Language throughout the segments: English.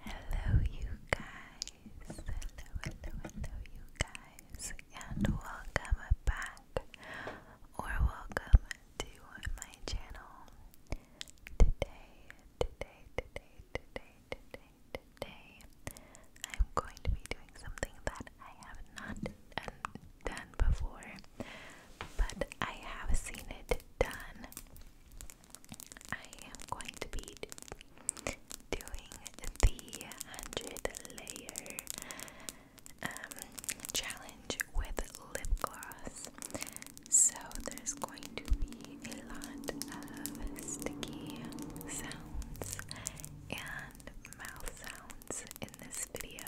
Hello, you guys. Hello, hello, hello, you guys, and welcome back or welcome to my channel. Today, today, today, today, today, today, I'm going to be doing something that I have not done before, but I have seen it done I am going to be doing the 100 layer um, challenge with lip gloss. So there's going to be a lot of sticky sounds and mouth sounds in this video.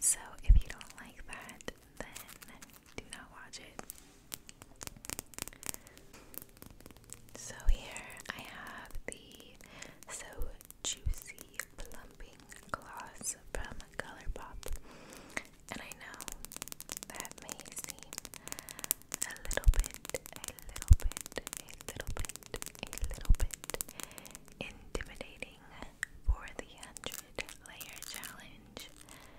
So if you don't like that, then do not watch it. So here I have the So Juicy Plumping Gloss from Colourpop. And I know that may seem a little bit, a little bit, a little bit, a little bit intimidating for the 100 layer challenge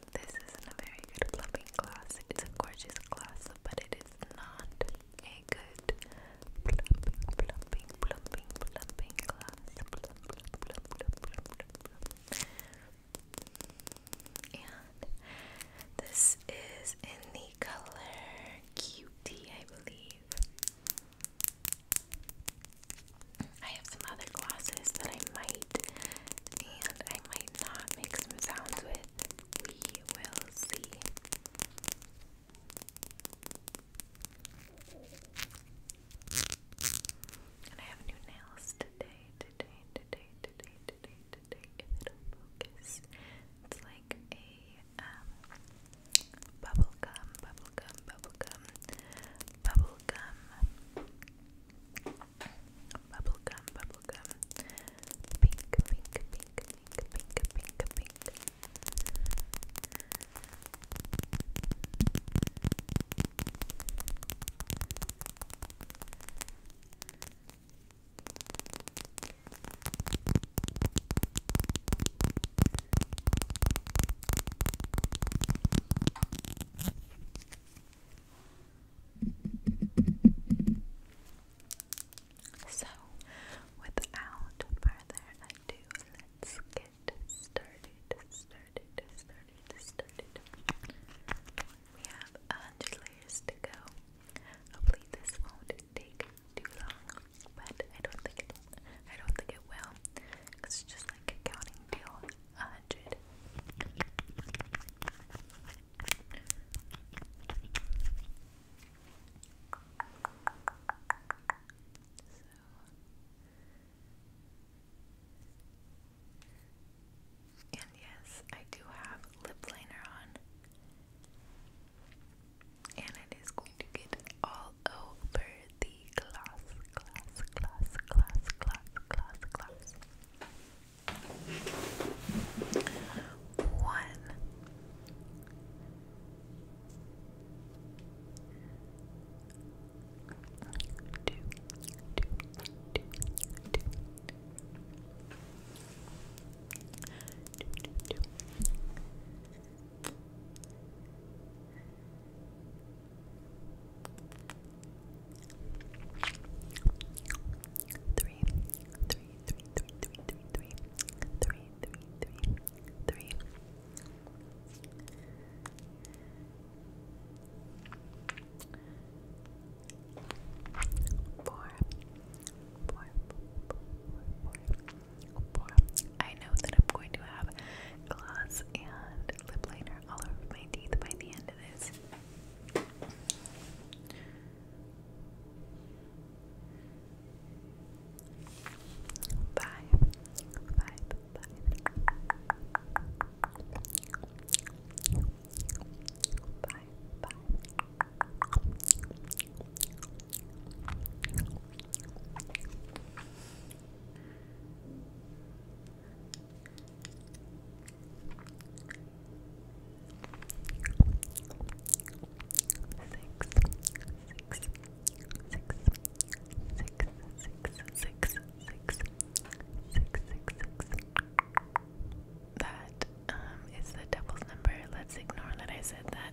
this is a very good plumping glass. It's a gorgeous glass, but it is not a good plumping, plumping, plumping, plumping glass. And this is in the color Cutie, I believe. I have some other glasses that I might and I might not make some sounds with we will see. And I have new nails today, today, today, today, today, today. If focus, it's like a um, bubblegum, bubblegum, bubblegum, bubblegum Bubblegum, bubblegum. Pink, pink, pink, pink, pink, pink, pink. Pink, so, without further ado, let's get started, started, started, started. We have a hundred layers to go. Hopefully this won't take too long, but I don't think I don't think it will. It's just like counting till a hundred. And yes, I do have lip liner on. And it is going to get all over the gloss, gloss, gloss, gloss, gloss, gloss, gloss. One. Two, two, two, two. Two, two, two. Three, three, three, three, three, three, three, three, three, three, three, three. Four, four, four, four, four, four. I know that I'm going to have gloss and lip liner all over my teeth by the end of this. Five, five, five. Five, five. Five, that um the devil's number. Let's ignore that I said that.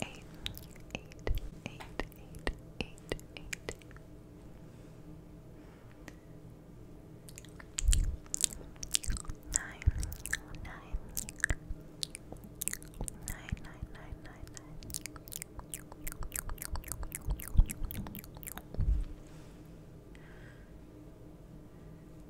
Eight, eight, eight, eight, eight, eight. Nine, nine, nine, nine, nine, nine, nine.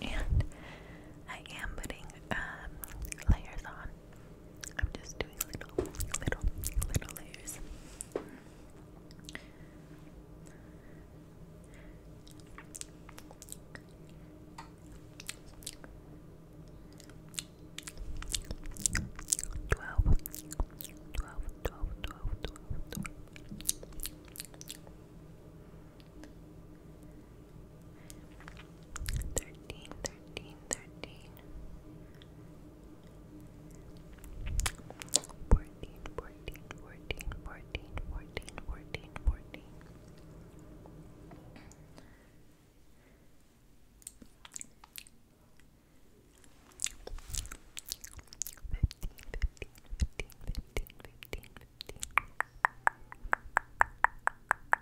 and I am putting um, layers on I'm just doing little, little, little layers. Twelve, twelve, twelve, twelve, twelve, twelve. Thirteen, thirteen, thirteen, fourteen, fourteen, fourteen, fourteen, fourteen, fourteen, fourteen. Fifteen, fifteen, fifteen, fifteen, fifteen, fifteen.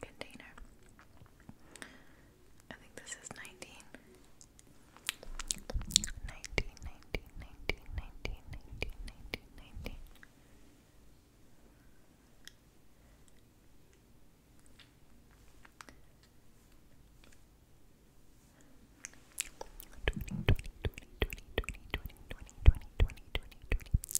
container. I think this is 19. 19, 19, 19, 19, 19, 19, 19. Twenty, twenty, twenty, twenty, twenty, twenty, twenty, twenty, twenty, twenty, twenty,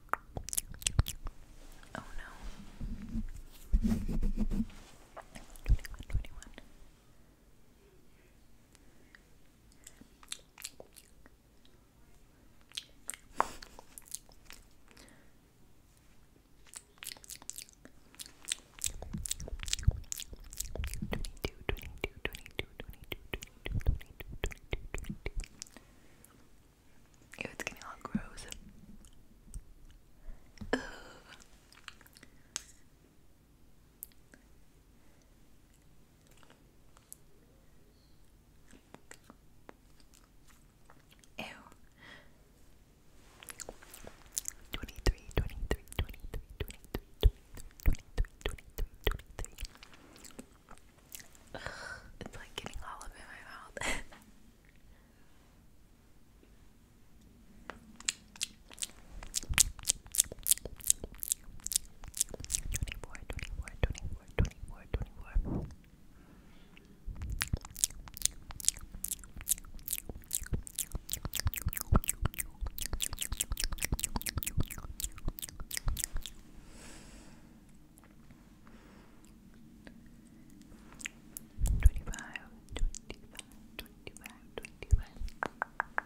Oh no. 21, 21 it's getting all gross. Ew. 23, 23, 23, 23, 23, 23, 23, 23. Ugh, it's like getting all up in my mouth. 24, 24, 24, 24, 24. 25, 25, Twenty-five, twenty-five, twenty-five, twenty-five, twenty-five.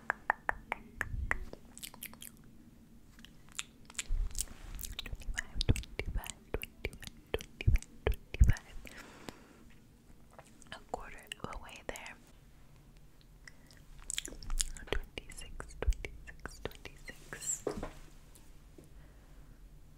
A quarter of there. Twenty-six, twenty-six, twenty-six.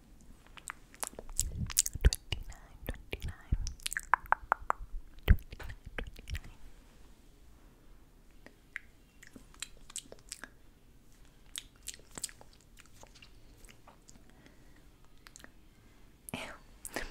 Twenty-nine, twenty-nine. Twenty-nine, twenty-nine.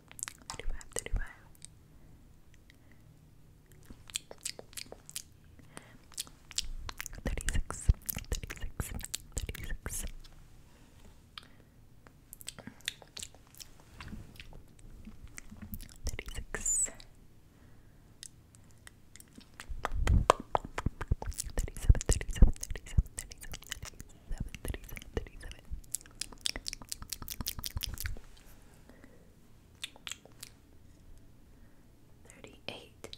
35, 35. Thirty-six, thirty-six, thirty-six. Thirty-six. Thirty-seven, thirty-seven, thirty-seven, thirty-seven, thirty-seven, thirty-seven, thirty-seven. 37 38 39 40 41 42 Thirty-eight,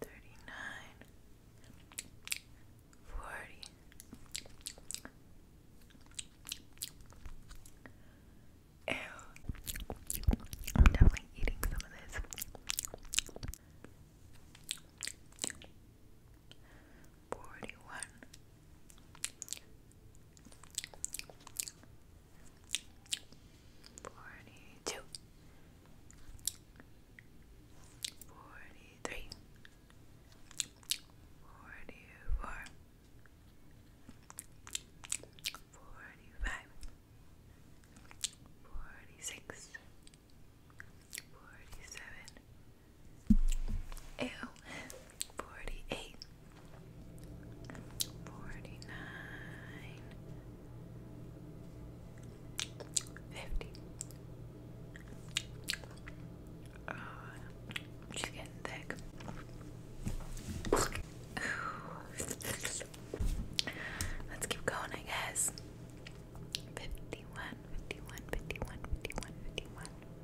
thirty-nine, forty, I'm definitely eating some of this forty one forty two forty three forty four forty five forty six forty seven Forty-eight, Ew. 48 49 50 uh, she's getting thick let's keep going I guess 51 51 51 51 51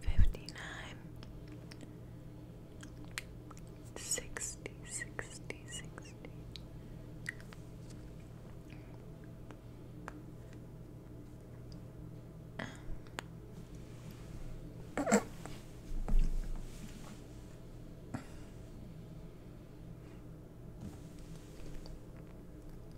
fifty nine, sixty, sixty, sixty.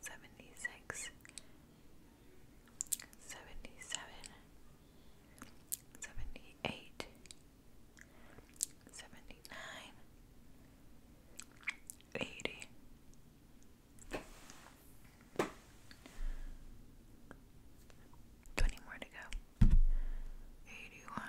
seventy six, seventy seven, seventy eight, seventy nine, eighty. Twenty more to go. Eighty one.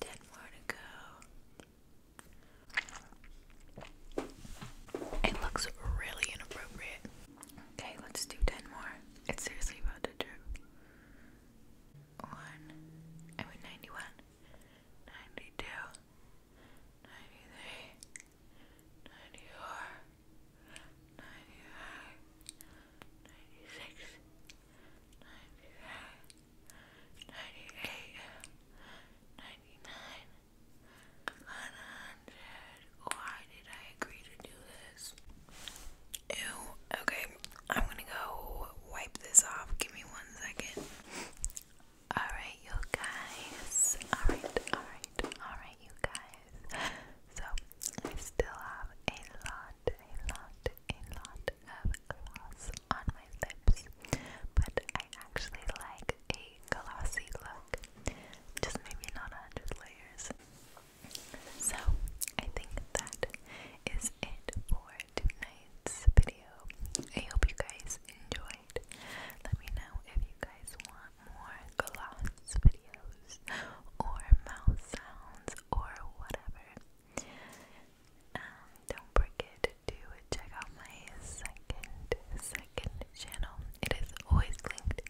Ten more to go. It looks really inappropriate. Okay, let's do ten more. It's seriously about to drip. One. I mean ninety-one. Ninety-two ninety-eight, ninety-nine, one hundred. Why did I agree to do this? Ew. Okay, I'm gonna go wipe this off. Give me one second. Alright, you guys. Alright, alright, alright, you guys. So, we still have a lot, a lot, a lot of gloss on my lips, but I actually like a glossy look. Just maybe not a hundred layers. So I think that is it for tonight's video. I hope you guys enjoyed. Let me know if you guys want more gloss videos or mouth sounds or whatever. Um, don't forget to check out my second second channel. It is always linked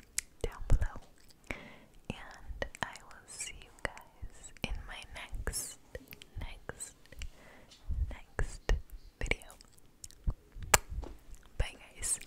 down below. And I will see you guys in my next next next video. Bye guys.